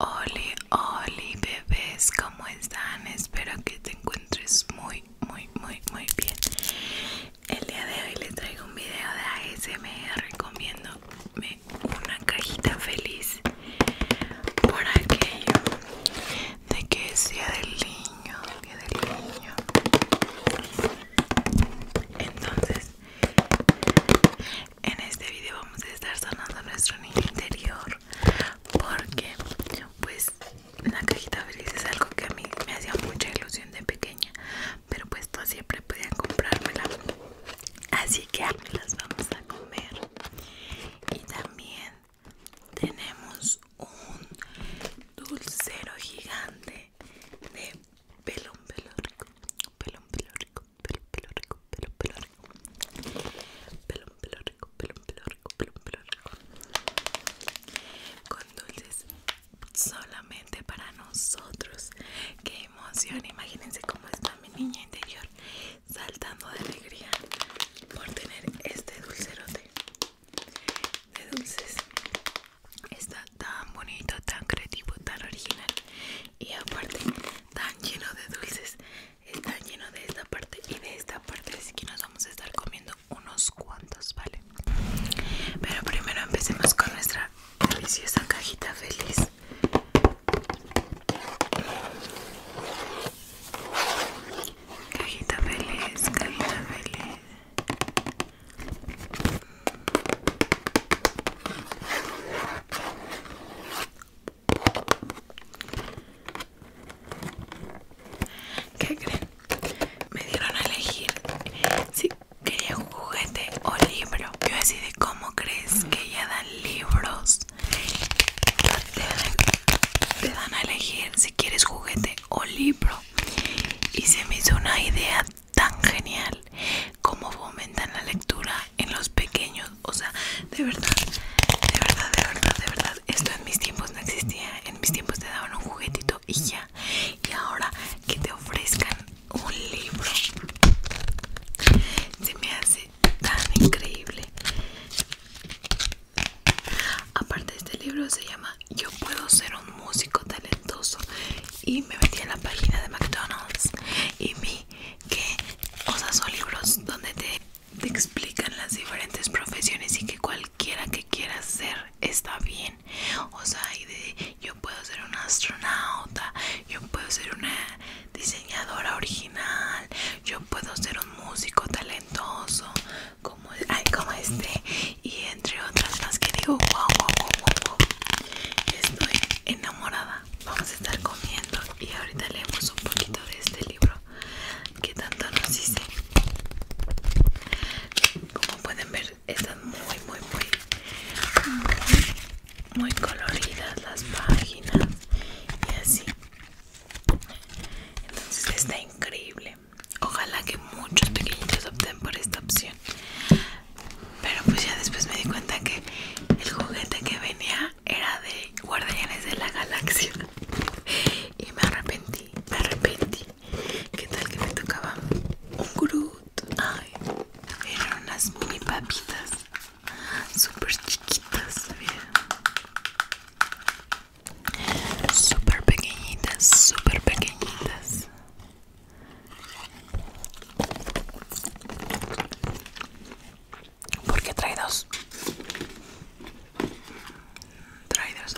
Hola, hola bebés, ¿cómo están? Espero que te encuentres muy, muy, muy, muy bien. El día de hoy les traigo un video de ASMR recomiendo una cajita feliz por aquello de que sea del niño, día del niño. Entonces, en este video vamos a estar sonando nuestro niño interior porque pues una cajita feliz es algo que a mí me hacía mucha ilusión de pequeña, pero pues no siempre podían comprármela. Así que las vamos a comer. Y también tenemos un dulcero gigante de pelón, pelón rico, pelón, pelón rico, pelón, pelón rico, pelón, pelón rico, pelón, pelón rico, pelón, rico, pelón, rico, con dulces solamente para nosotros. Qué emoción, imagínense cómo está mi niña interior saltando de alegría por tener este dulcerote de dulces está tan bonito tan creativo tan original y aparte tan lleno de dulces está lleno de esta parte y de esta parte así que nos vamos a estar comiendo unos cuantos vale pero primero empecemos con nuestra deliciosa cajita feliz Cajita feliz, cajita feliz. ¿Qué creen? Me dieron a elegir si quería un juguete o libro. Yo decidí cómo crees que ya dan libros. Te dan a elegir si quieres juguete o libro. Y se me hizo una idea tan genial Como fomentan la lectura en los pequeños. O sea, de verdad, de verdad, de verdad, de verdad. Esto en mis tiempos no existía. En mis tiempos te daban un juguetito y ya. Y ahora que te ofrezcan un libro, se me hace tan increíble. Aparte, este libro se llama yo puedo ser un músico talentoso y me metí en la página de McDonald's y vi que, o sea, son libros donde te, te explican las diferentes profesiones y que cualquiera que quiera ser está bien. O sea, de yo puedo ser un astronauta, yo puedo ser una diseñadora original, yo puedo ser un músico talentoso como, este y entre otras más que digo wow, wow, wow, wow, Estoy enamorada. Vamos a estar comiendo y ahorita leemos un poquito de este libro que tanto nos hice Como pueden ver, están muy, muy, muy, muy coloridas las páginas y así. Entonces está increíble. Ojalá que muchos pequeñitos opten por esta opción. Pero pues ya después me di cuenta que el juguete que venía era de Guardianes de la Galaxia. Y me arrepentí, me arrepentí. ¿Qué tal que me tocaba un Groot? Ay, eran unas mini papitas. Súper chiquitas, Súper pequeñitas, súper pequeñitas. Porque trae dos. Trae dos.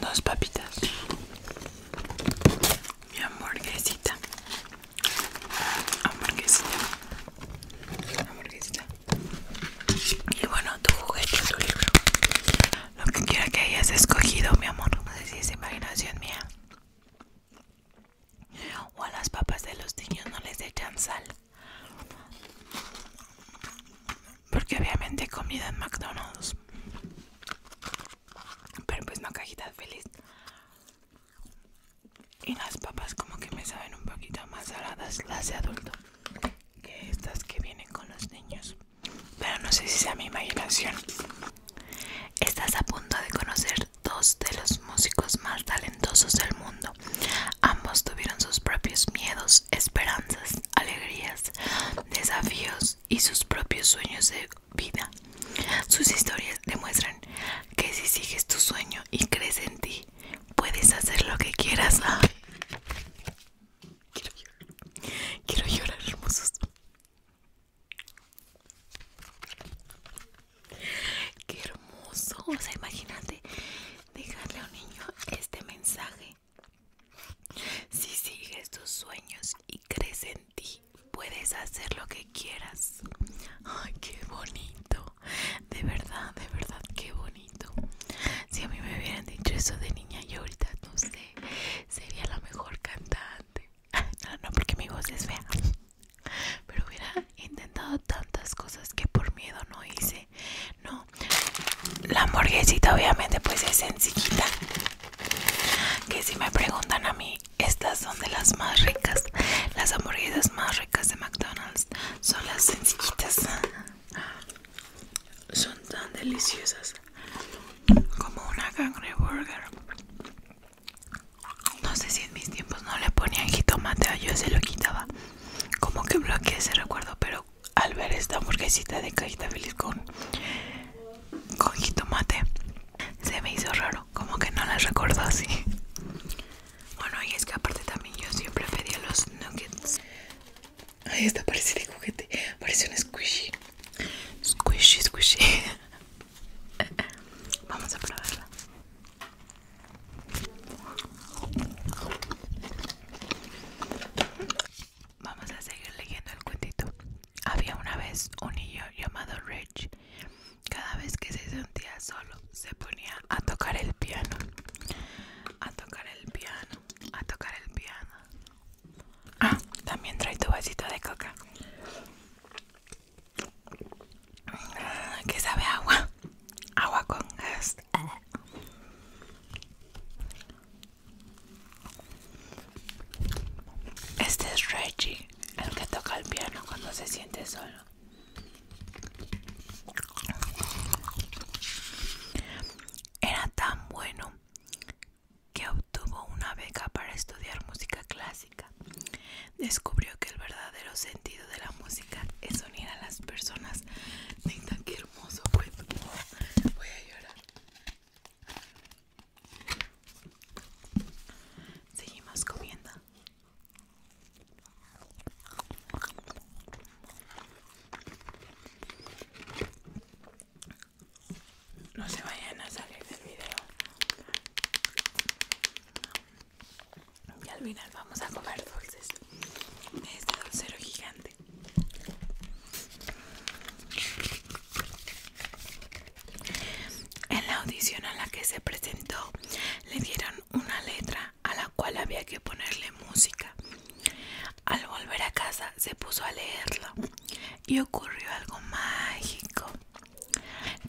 Dos papitas. Mi hamburguesita. Hamburguesita. Hamburguesita. Y bueno, tu juguete, tu libro. Lo que quiera que hayas escogido, mi amor. No sé si es imaginación mía. O a las papas de los niños no les echan sal. Porque obviamente comido en McDonald's. Pero pues no cajita feliz. Y las papas como que me saben un poquito más saladas las de adulto que estas que vienen con los niños pero no sé si sea mi imaginación estás a punto de conocer dos de los músicos más talentosos del mundo ambos tuvieron sus propios miedos esperanzas alegrías desafíos y sus propios sueños de vida sus historias demuestran que si sigues tu sueño y crees en ti puedes hacer lo que quieras Quiero llorar. Quiero llorar, hermosos. Qué hermoso. O sea, imagínate dejarle a un niño este mensaje. Si sigues tus sueños y crees en ti, puedes hacer lo que quieras. Ay, qué bonito. De verdad, de verdad, qué bonito. Si a mí me hubieran dicho eso de niña, yo ahorita no sé, sería la mejor cantante. No, no, porque mi voz es fea. Pero hubiera intentado tantas cosas que por miedo no hice. No, la hamburguesita obviamente pues es sencillita. Que si me preguntan a mí, estas son de las más ricas. Las hamburguesas más ricas de McDonald's son las sencillitas son tan deliciosas como una burger No sé si en mis tiempos no le ponían jitomate o yo se lo quitaba. Como que bloqueé ese recuerdo, pero al ver esta hamburguesita de cajita feliz con, con jitomate, se me hizo raro, como que no las recuerdo así. Bueno, y es que aparte también yo siempre pedía los nuggets. Ahí está, parece de juguete. Parece un squishy. Squishy, squishy. Vamos a probarla. Vamos a seguir leyendo el cuentito. Había una vez un niño llamado Rich. Cada vez que se sentía solo, se ponía a tocar el piano. A tocar el piano a tocar el piano. Ah, también trae tu vasito de coca. Ah, que sabe agua. Agua con gas. Este es Reggie, el que toca el piano cuando se siente solo. Era tan bueno que obtuvo una beca para estudiar música clásica. Descubrió que el verdadero sentido de la música es unir a las personas. Neta, qué hermoso fue. Pues. Voy a llorar. Seguimos comiendo. No se vayan a salir del video. Y al final vamos a comer dulces este dulcero gigante. En la audición a la que se presentó le dieron una letra a la cual había que ponerle música. Al volver a casa se puso a leerlo y ocurrió algo mágico.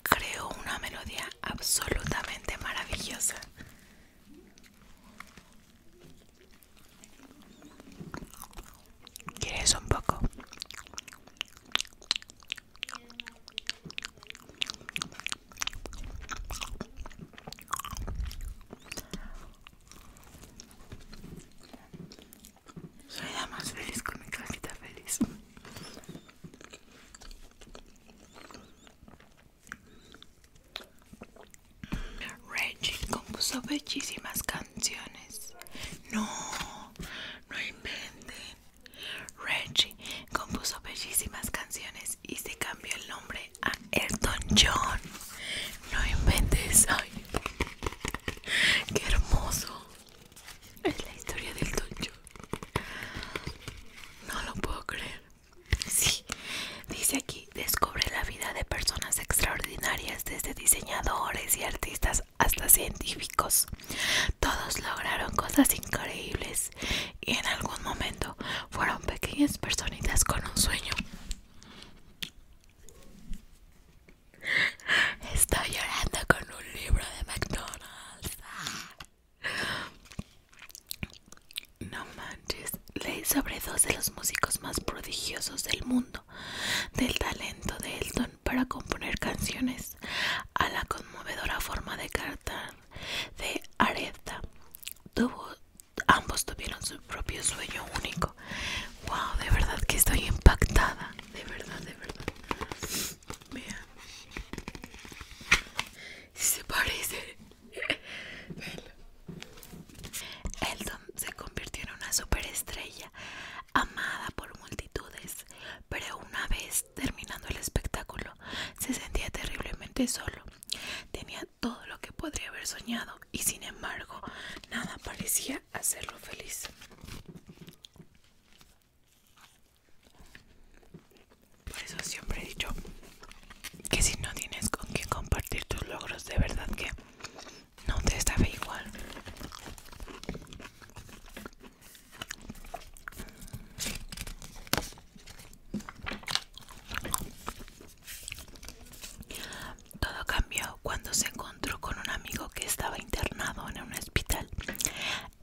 Creó una melodía absolutamente maravillosa. ¿Quieres un poco? Soy la más feliz con mi casita feliz. Reggie compuso bellísimas canciones. No, no inventen. Reggie compuso bellísimas canciones y se cambió el nombre el a Elton John. No inventes. Ay, qué hermoso. Es la historia del Elton John. No lo puedo creer. Sí, dice aquí, descubre la vida de personas extraordinarias, desde diseñadores y artistas hasta científicos. Todos lograron cosas increíbles y en algún momento fueron pequeñas personitas con un sueño. Estoy llorando con un libro de McDonald's. No manches, leí sobre dos de los músicos más prodigiosos del mundo, del talento de Elton para componer canciones, a la conmovedora forma de cartón de Aretha. Tuvo ambos tuvieron su propio sueño único. Wow, de verdad que estoy impactada. De verdad, de verdad. si Se parece. Elton se convirtió en una superestrella, amada por multitudes, pero una vez terminando el espectáculo, se sentía terriblemente solo. Tenía todo lo que podría haber soñado y sin embargo nada parecía hacerlo feliz. Por eso siempre he dicho que si no tienes con quien compartir tus logros, de verdad que no te estaba igual. Todo cambió cuando se encontró con un amigo que estaba internado en un hospital.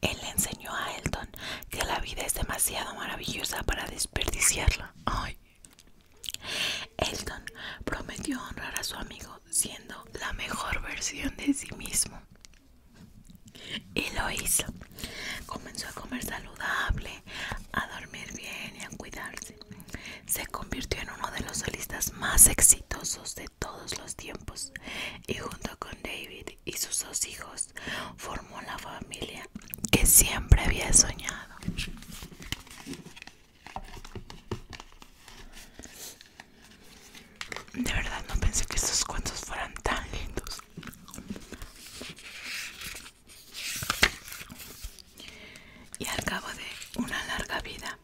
Él le enseñó a Elton que la vida es demasiado maravillosa para desperdiciarla. Elton prometió honrar a su amigo siendo la mejor versión de sí mismo. Y lo hizo. Comenzó a comer saludable, a dormir bien y a cuidarse. Se convirtió en uno de los solistas más exitosos de todos los tiempos y junto con David y sus dos hijos formó la familia que siempre había soñado. De verdad no pensé que estos cuentos fueran tan lindos. Y al cabo de una larga vida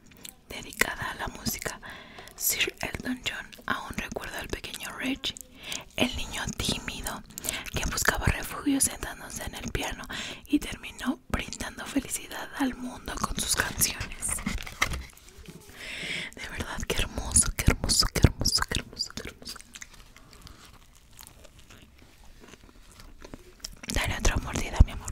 dedicada a la música, Sir Elton John aún recuerda al pequeño Reggie, el niño tímido, que buscaba refugio sentándose en el piano y terminó brindando felicidad al mundo con sus canciones. De verdad, qué hermoso, qué hermoso, qué hermoso, qué hermoso, qué hermoso. Dale otra mordida, mi amor.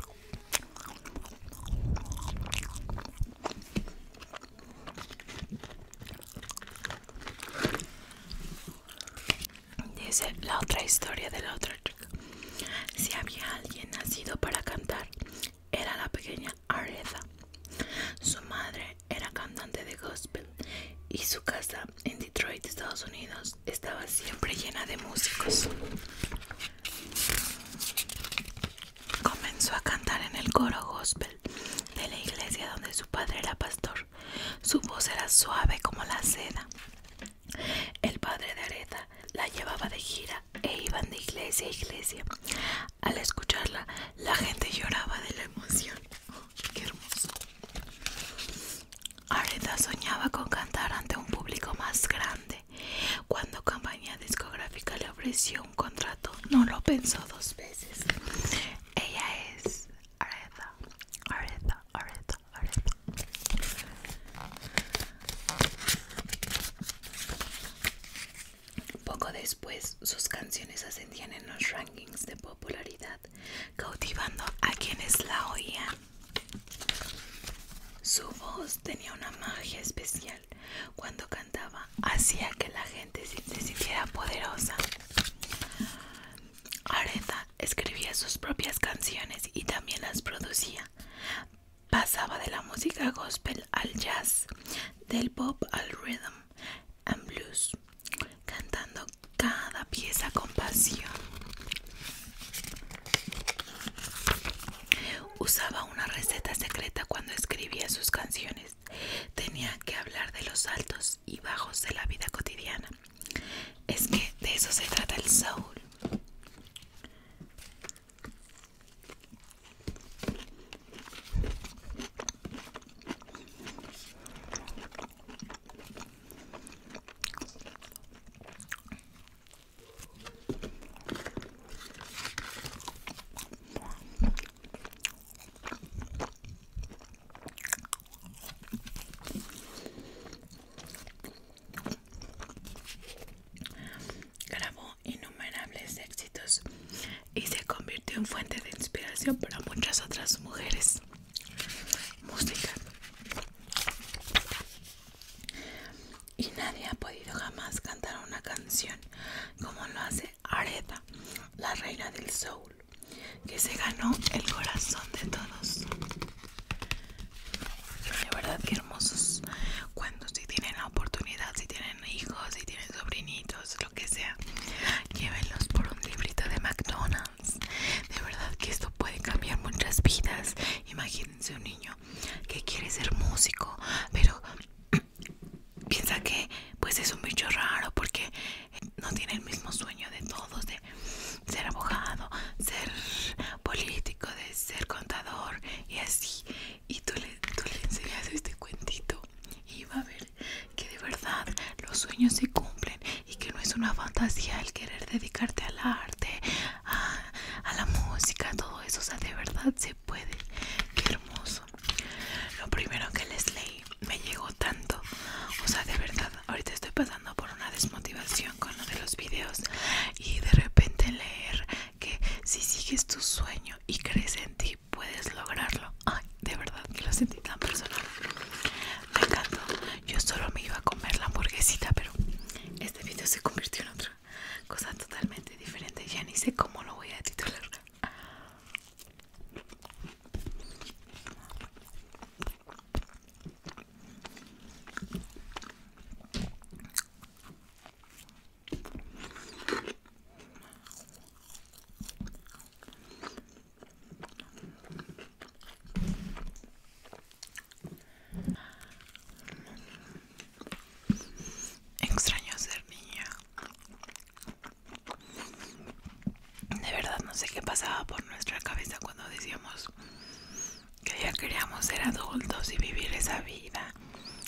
Dice la otra historia de la otra chica. Si había alguien nacido para cantar, era la pequeña Aretha. Su madre era cantante de gospel y su casa en Detroit, Estados Unidos, estaba siempre llena de músicos. Comenzó a cantar en el coro gospel de la iglesia donde su padre era pastor. Su voz era suave como la seda. El padre de Aretha la llevaba de gira e iban de iglesia a iglesia. Al escucharla, la gente lloraba de la emoción qué hermoso. Aretha soñaba con cantar ante un público más grande. Cuando compañía discográfica le ofreció un contrato, no lo pensó dos veces. Ella es Aretha, Aretha. Poco después, sus canciones ascendían en los rankings de popularidad cautivando a quienes la oían. Su voz tenía una magia especial. Cuando cantaba, hacía que la gente se sintiera poderosa. Aretha escribía sus propias canciones y también las producía. Pasaba de la música gospel al jazz, del pop al rhythm and blues cantando cada pieza con pasión. Usaba una receta secreta cuando escribía sus canciones. Tenía que hablar de los altos y bajos de la vida cotidiana. Es que de eso se trata el soul. Grabó innumerables éxitos y se convirtió en fuente de inspiración para muchas otras mujeres música y nadie ha podido jamás cantar una canción como lo hace Aretha, la reina del soul, que se ganó el corazón de todos. De verdad qué hermosos cuando si tienen la oportunidad, si tienen hijos, si tienen sobrinitos, lo que sea, llévenlos por un librito de McDonald's de verdad que esto puede cambiar muchas vidas. Imagínense un niño que quiere ser músico, pero piensa que pues es un bicho raro porque no tiene el mismo sueño de todos, de ser abogado, ser político, de ser contador y así. Y tú le, tú le enseñas este cuentito y va a ver que de verdad los sueños se cumplen y que no es una fantasía el querer dedicarte al arte, a, la música, todo eso, o sea, de verdad se puede. Qué hermoso. Lo primero que les leí me llegó tanto, o sea, de verdad, ahorita estoy pasando por una desmotivación con uno de los videos y de repente leer que si sigues tu sueño y crees en ti, puedes lograrlo. Ay, de verdad, que lo sentí tan personal. Me encantó. Yo solo me iba a comer la hamburguesita, pero este video se convirtió en otra cosa totalmente diferente. Ya ni sé cómo lo voy a titular. Extraño ser niña. De verdad no sé qué pasaba por nuestra cabeza cuando decíamos que ya queríamos ser adultos y vivir esa vida.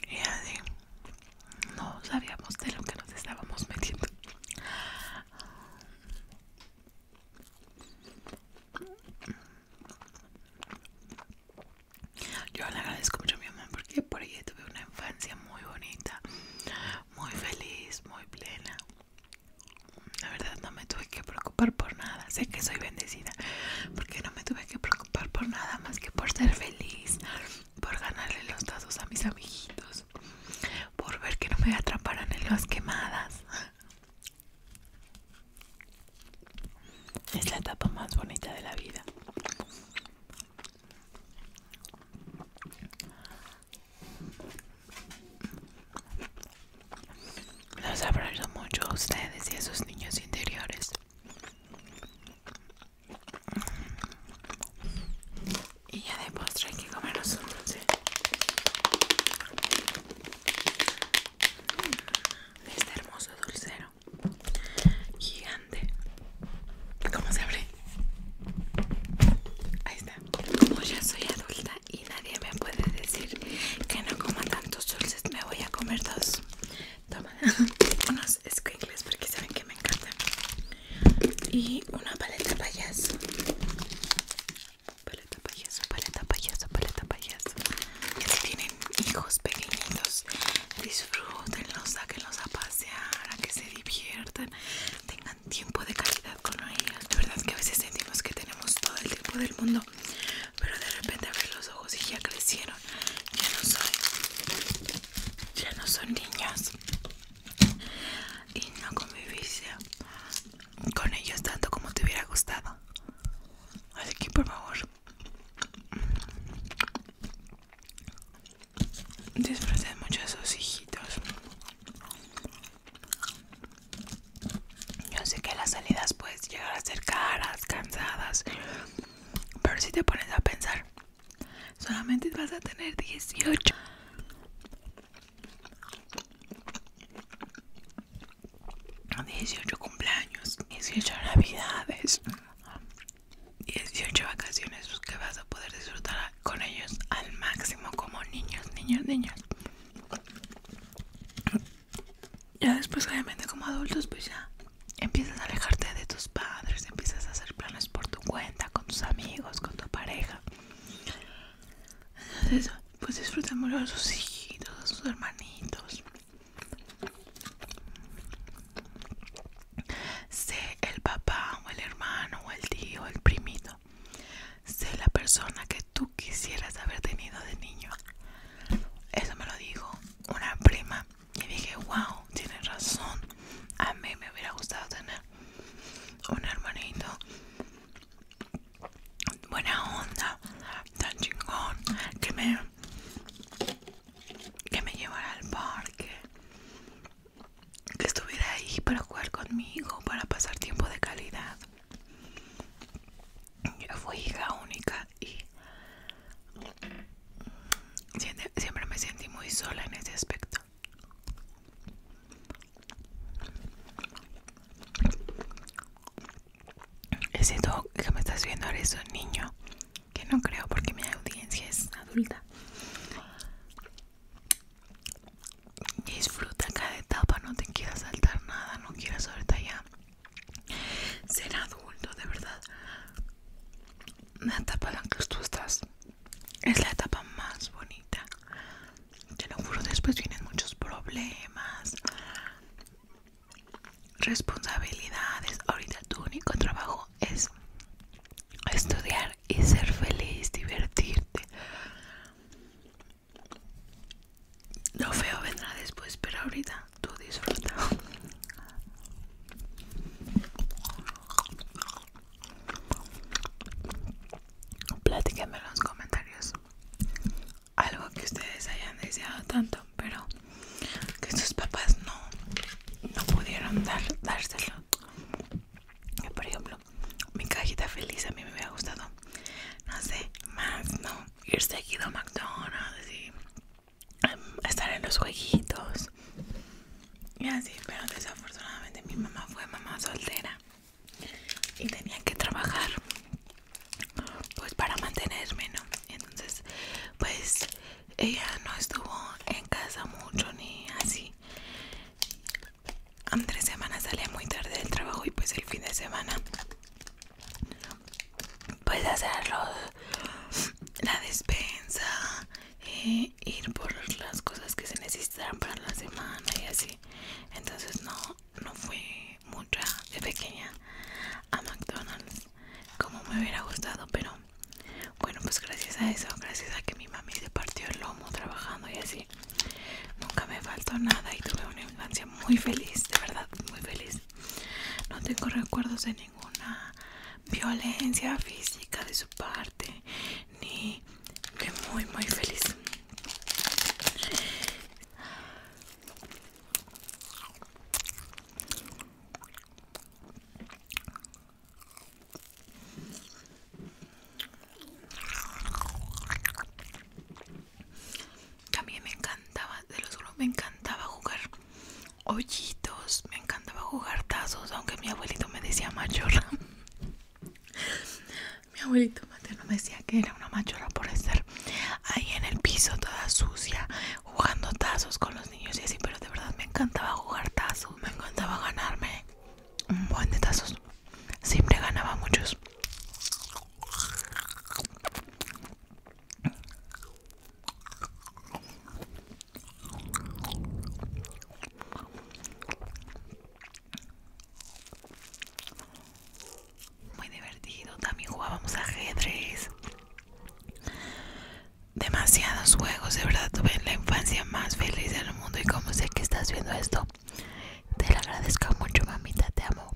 Y no sabíamos de lo que nos estábamos metiendo. Yo le agradezco mucho a mi mamá porque por ella tuve una infancia muy bonita, muy feliz, muy plena. La verdad no me tuve que preocupar por nada. Sé que soy bendecida porque no me tuve que preocupar por nada más que por ser feliz, por ganarle los dados a mis amiguitos, por ver que no me atraparan en las quemadas. Es la etapa más bonita de la vida. Los abrazo mucho a ustedes y a sus niños interiores. Y ya de postre hay que comernos un dulce. Este hermoso dulcero. Gigante. ¿Cómo se abre? Ahí está. Como pues ya soy adulta y nadie me puede decir que no coma tantos dulces, me voy a comer dos. Toma unos squinkles porque saben que me encantan y una paleta payaso paleta payaso paleta payaso paleta payaso ya tienen hijos pequeñitos disfrútenlos sáquenlos a pasear a que se diviertan tengan tiempo de calidad con ellos de verdad que a veces sentimos que tenemos todo el tiempo del mundo pero de repente ver los ojos y ya crecieron ya no son ya no son niños y no conviviste con ellos tanto como te hubiera gustado. Así que por favor, disfruten mucho de sus hijitos. Yo sé que las salidas puedes llegar a ser caras, cansadas, pero si te pones a pensar, solamente vas a tener 18. 18 cumpleaños, 18 navidades, 18 vacaciones pues, que vas a poder disfrutar con ellos al máximo como niños, niños, niños. Ya después obviamente como adultos pues ya empiezas a alejarte de tus padres, empiezas a hacer planes por tu cuenta, con tus amigos, con tu pareja. Entonces, pues disfrutamos a sus hijitos, a sus hermanitos. Sé el papá o el hermano o el tío o el primito. Sé la persona que tú quisieras haber tenido de niño. Eso me lo dijo una prima y dije, wow, tienes razón. A mí me hubiera gustado tener un hermanito buena onda, tan chingón, que me, que me llevara al parque, que estuviera ahí para jugar conmigo, para pasar tiempo de calidad. Yo fui hija única y siempre me sentí muy sola en ese aspecto. Siento dog que me estás viendo ahora es un niño que no creo porque mi audiencia es adulta. Disfruta cada etapa, no te quieras saltar nada, no quieras ahorita ya ser adulto, de verdad. La etapa en la que tú estás es la etapa más bonita, te lo juro después vienen muchos problemas responsabilidades ahorita tu único trabajo es estudiar y ser feliz divertirte lo feo vendrá después pero ahorita tú disfruta Platíquenme en los comentarios algo que ustedes hayan deseado tanto, pero que sus papás no, pudieron dar, dárselo. por ejemplo, mi cajita feliz a mí me había gustado, no sé, más, ¿no? Ir seguido a McDonald's y em, estar en los jueguitos y así, pero desafortunadamente mi mamá fue mamá soltera y tenía que trabajar pues para mantenerme no entonces pues ella no estuvo en casa mucho ni así tres semanas salía muy tarde del trabajo y pues el fin de semana pues hacer la despensa e ir por las cosas que se necesitan para la semana y así entonces no no fui mucha de pequeña a McDonald's como me hubiera gustado pero bueno pues gracias a eso gracias a que mi mami se partió el lomo trabajando y así nunca me faltó nada y tuve una infancia muy feliz de verdad muy feliz no tengo recuerdos de ninguna violencia física de su parte ni que muy muy feliz también me encantaba de los grupos me encantaba jugar hoyitos me encantaba jugar tazos aunque mi abuelito me decía mayor. Mi abuelito materno me decía que era una machola por estar ahí en el piso toda sucia, jugando tazos con los niños y así, pero de verdad me encantaba jugar tazos, me encantaba ganarme un buen de tazos. Siempre ganaba muchos. Muy divertido. También jugábamos ajedrez. Demasiados juegos, de verdad tuve la infancia más feliz del mundo y como sé que estás viendo esto, te lo agradezco mucho, mamita, te amo.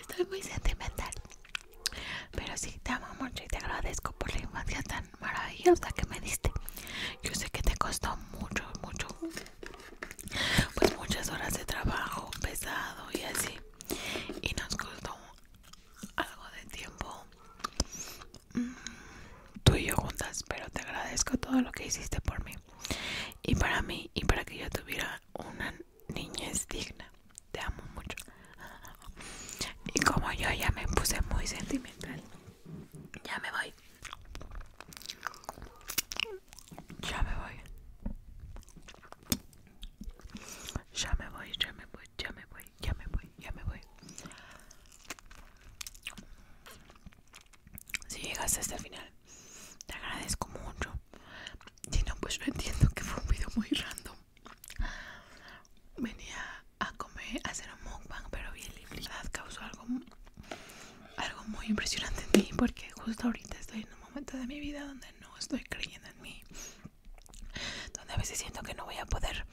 Estoy muy sentimental, pero sí, te amo mucho y te agradezco por la infancia tan maravillosa que me diste. Yo sé que te costó mucho, mucho, pues muchas horas de trabajo pesado y así. Y nos costó algo de tiempo mm, tú y yo juntas, pero te agradezco todo lo que hiciste por mí y para mí y para que yo tuviera una niñez digna. Te amo mucho. Y como yo ya me puse muy sentimental, ya me voy. Ya me voy. Ya me voy, ya me voy, ya me voy, ya me voy, ya me voy. Si llegaste hasta el final, te agradezco mucho. Si no, pues no entiendo que fue un video muy random venía a comer, a hacer un mukbang, pero vi el y causó algo, algo muy impresionante en mí porque justo ahorita estoy en un momento de mi vida donde no estoy creyendo en mí, donde a veces siento que no voy a poder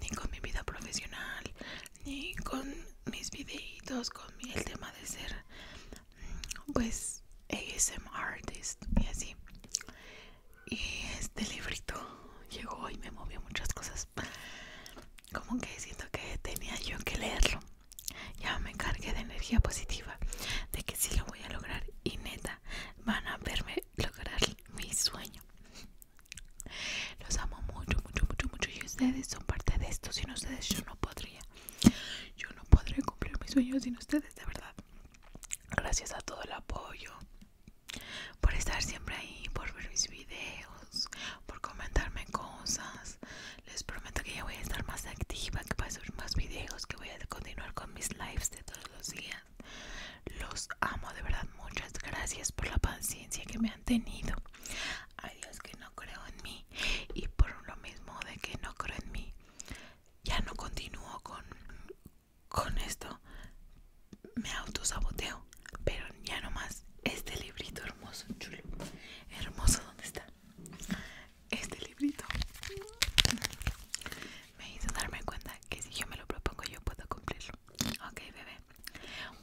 ni con mi vida profesional, ni con mis videitos, con el tema de ser mm, pues ASM artist y así. Y este librito llegó y me movió muchas cosas. Como que siento que tenía yo que leerlo. Ya me cargué de energía positiva, de que sí lo voy a lograr y neta van a verme lograr mi sueño. Los amo mucho, mucho, mucho, mucho y ustedes son parte de esto. Sin ustedes yo no podría. Yo no podría cumplir mis sueños sin ustedes, de verdad. Gracias a todo el apoyo, por estar siempre ahí, por ver mis videos, por comentarme cosas. Les prometo que ya voy a estar más activa, que voy a subir más videos, que voy a continuar con mis lives de todos los días. Los amo de verdad, muchas gracias por la paciencia que me han tenido. Hay Dios que no creo en mí y por lo mismo de que no creo en mí, ya no continúo con, con esto me autosaboteo, pero ya no más. Este librito hermoso, chulo, hermoso, ¿dónde está? Este librito me hizo darme cuenta que si yo me lo propongo, yo puedo cumplirlo. Ok, bebé,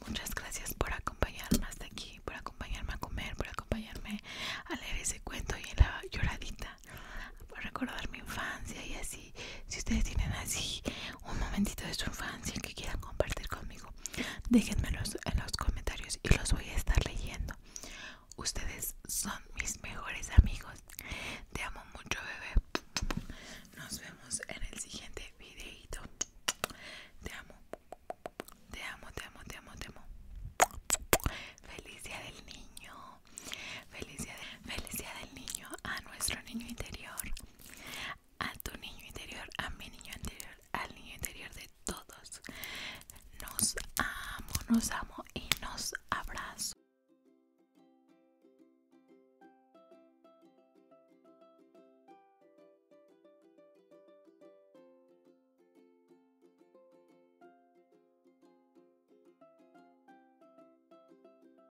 muchas gracias por acompañarme hasta aquí, por acompañarme a comer, por acompañarme a leer ese cuento y en la lloradita, por recordar mi infancia y así si ustedes tienen así un momentito de su infancia que quieran compartir conmigo, Déjenmelo en los comentarios y los voy a estar leyendo. Ustedes son mis mejores amigos. Te amo mucho, bebé. Nos vemos en el siguiente videito. Te amo. Te amo, te amo, te amo, te amo. Feliz día del niño. Feliz día, feliz día del niño a nuestro niño interior a tu niño interior, a mi niño interior, al niño interior de todos. Nos amo, nos amo y nos abrazo.